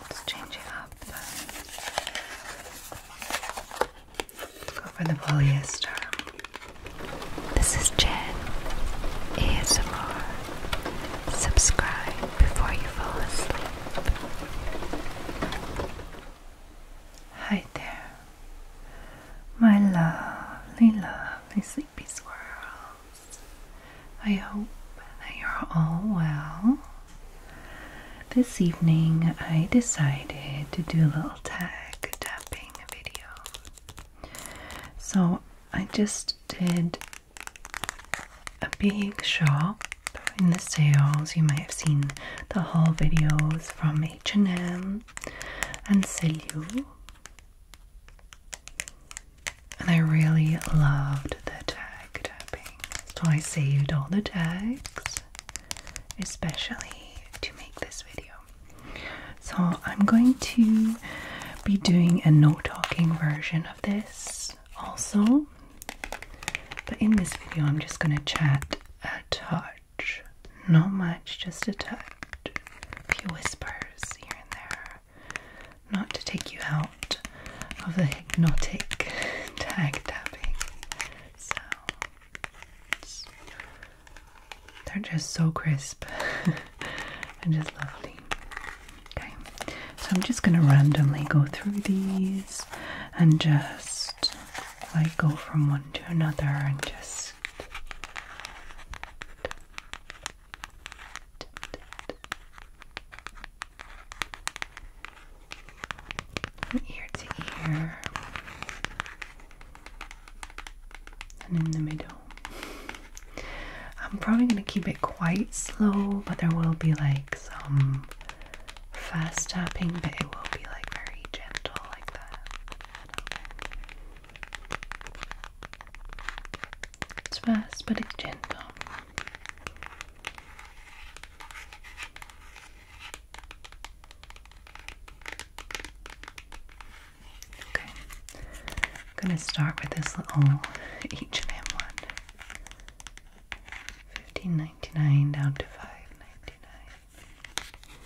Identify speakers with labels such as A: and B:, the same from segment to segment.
A: Let's change it up. Go for the polyester. This is Jen ASMR. Subscribe before you fall asleep. Hi there, my lovely, lovely sleepy squirrels. I hope that you're all well. This evening, I decided to do a little tag tapping video. So, I just did a big shop in the sales. You might have seen the haul videos from H&M and Selu. And I really loved the tag tapping. So I saved all the tags, especially to make this video. So I'm going to be doing a no talking version of this also. But in this video, I'm just going to chat a touch. Not much, just a touch. A few whispers here and there. Not to take you out of the hypnotic tag tapping. sounds. They're just so crisp and just lovely. Okay, so I'm just going to randomly go through these and just like go from one to another and just. ear to ear and in the middle. I'm probably going to keep it quite slow, but there will be like some fast tapping, but it will be like very gentle, like that. It's fast, but it's gentle. Okay, I'm gonna start with this little H and M one. $15.99 down to $5.99.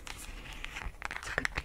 A: It's good deal.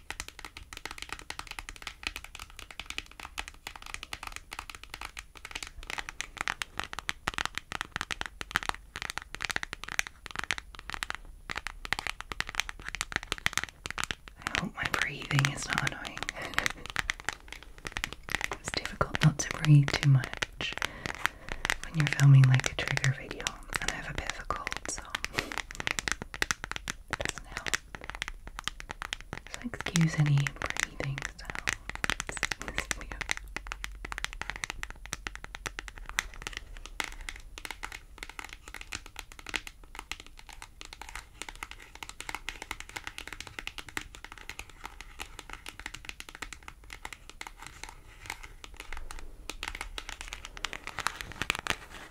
A: I hope my breathing is not annoying. it's difficult not to breathe too much when you're filming like a trigger video, I have a bit of a cold, so doesn't help. So excuse any breathing sounds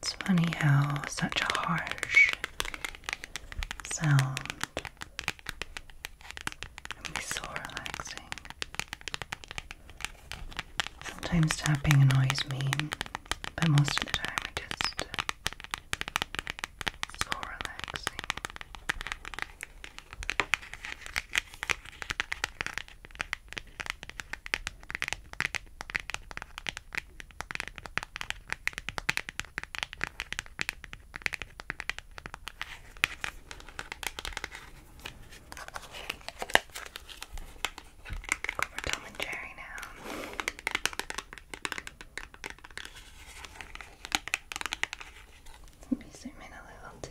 A: It's funny how such a harsh sound it so relaxing. Sometimes tapping annoys me, but most of the time it just so relaxing. Go Tom and Jerry now. Let me zoom in a little too.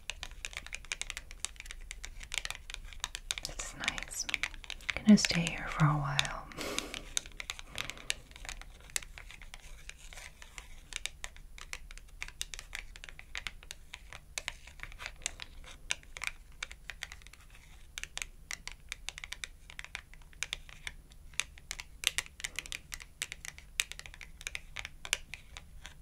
A: It's nice. i gonna stay here for a while.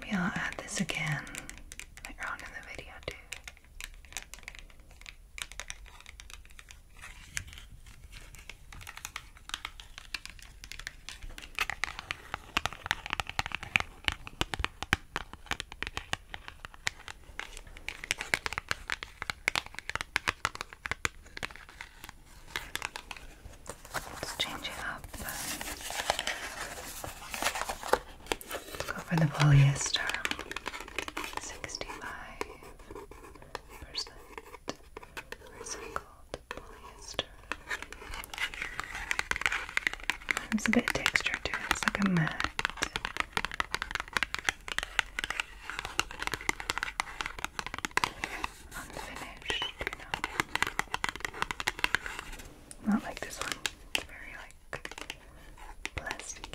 A: Maybe I'll add this again later on in the video, too. Let's change it up. Go for the polyester. 65% recycled polyester. There's a bit of texture to it, it's like a matte unfinished, you know. Not like this one. It's very like plasticky.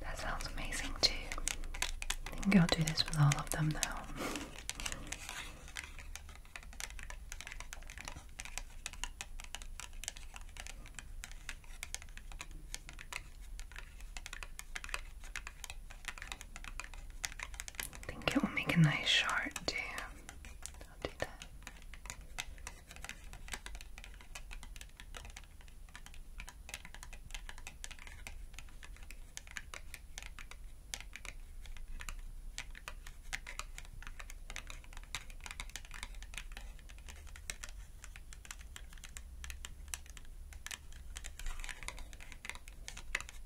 A: That sounds amazing too. I think I'll do this with all of them now. I think it will make a nice shard too. I'll do that.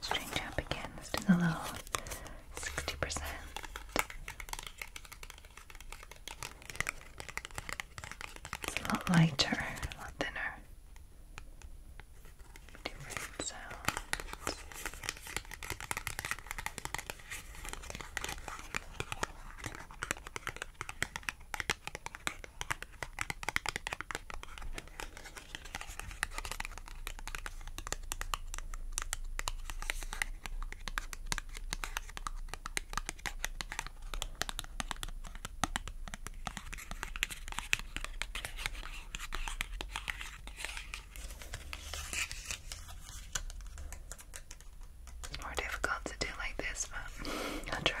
A: String jump again. Let's do the low. Sixty percent. a lot lighter, a lot thinner different sounds. It's more difficult to do like this, but I'll try.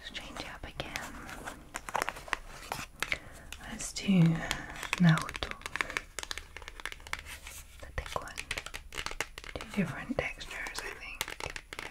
A: Let's change up again. Let's do Naruto. The thick one. Two different textures, I think. Yeah.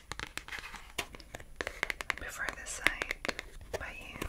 A: Before this side by you.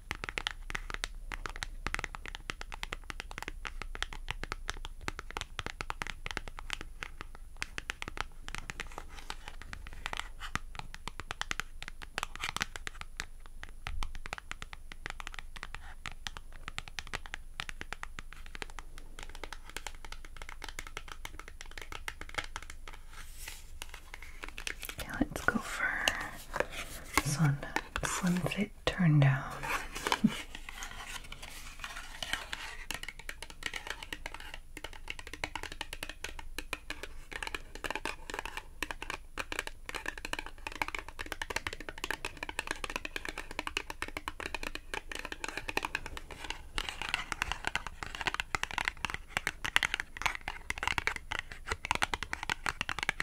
A: Okay, let's go for this one. Slim Fit turn down.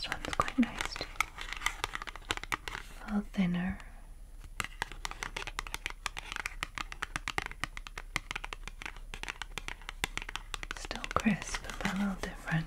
A: This one's quite nice too. A little thinner. Still crisp, but a little different.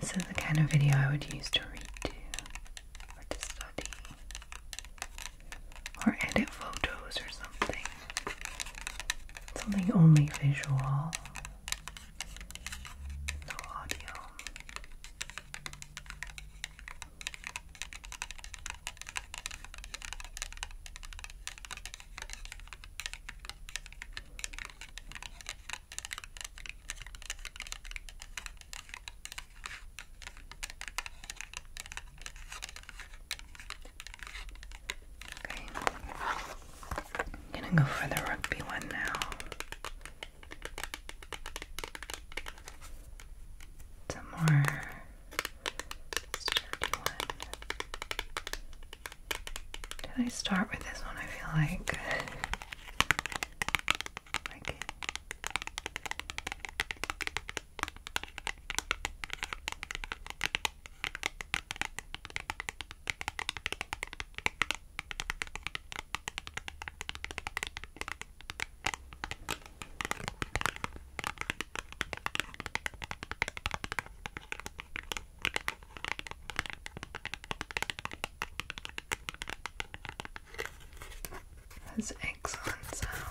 A: This is the kind of video I would use to read to or to study or edit photos or something. Something only visual, no audio. I'm gonna go for the rugby one now. It's more sturdy I start with this one? I feel like That's excellent sounds.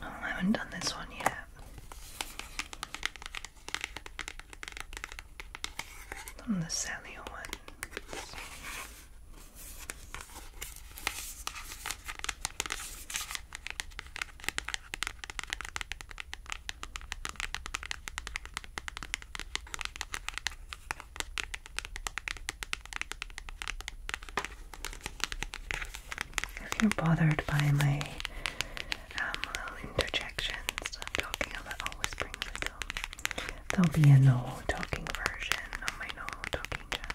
A: I haven't done this one yet. Done the Sally one. If you're bothered by my um, little interjections, I'm talking a little, whispering a there'll be a no talking version on my no talking channel.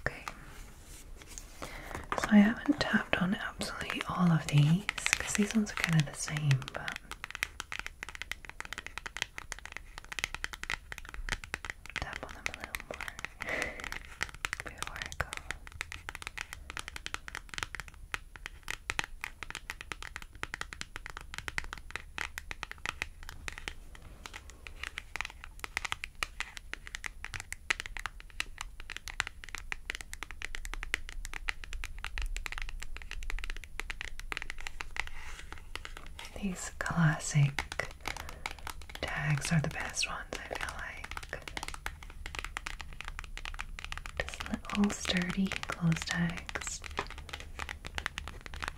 A: Okay, so I haven't tapped on absolutely all of these because these ones are kind of the same, tap on them a little more before I go. These classic tags are the best ones, I feel like. Just little sturdy clothes tags.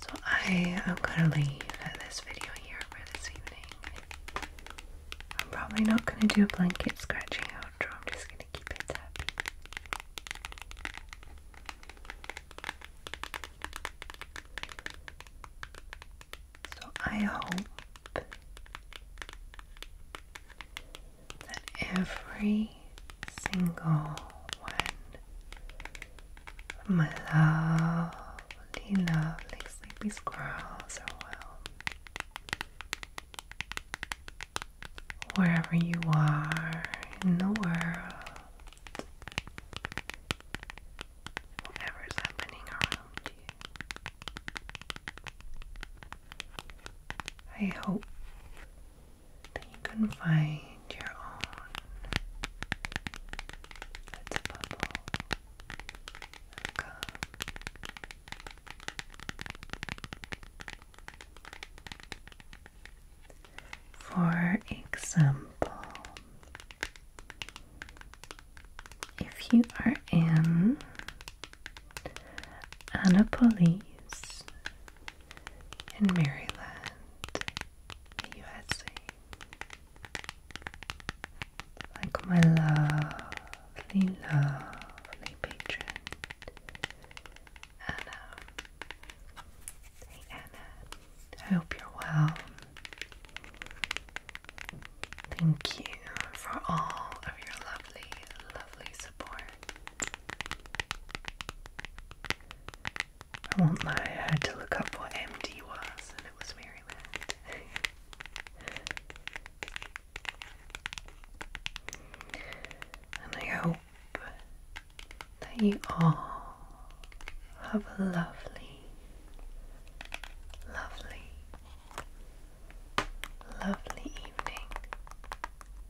A: So I am gonna leave this video here for this evening. I'm probably not gonna do a blanket scratching outro, I'm just gonna keep it happy. So I hope that every single one of my lovely, lovely sleepy squirrels are well. Wherever you are in the world, whatever's happening around you, I hope that you can find your own. It's a bubble For example, if you are in Annapolis, in Maryland, USA. Like my lovely, lovely patron, Anna. Hey Anna, I hope you're well. Thank you for all of your lovely, lovely support. I want my, I had to look up what MD was and it was Maryland. and I hope that you all have a lovely, lovely, lovely evening.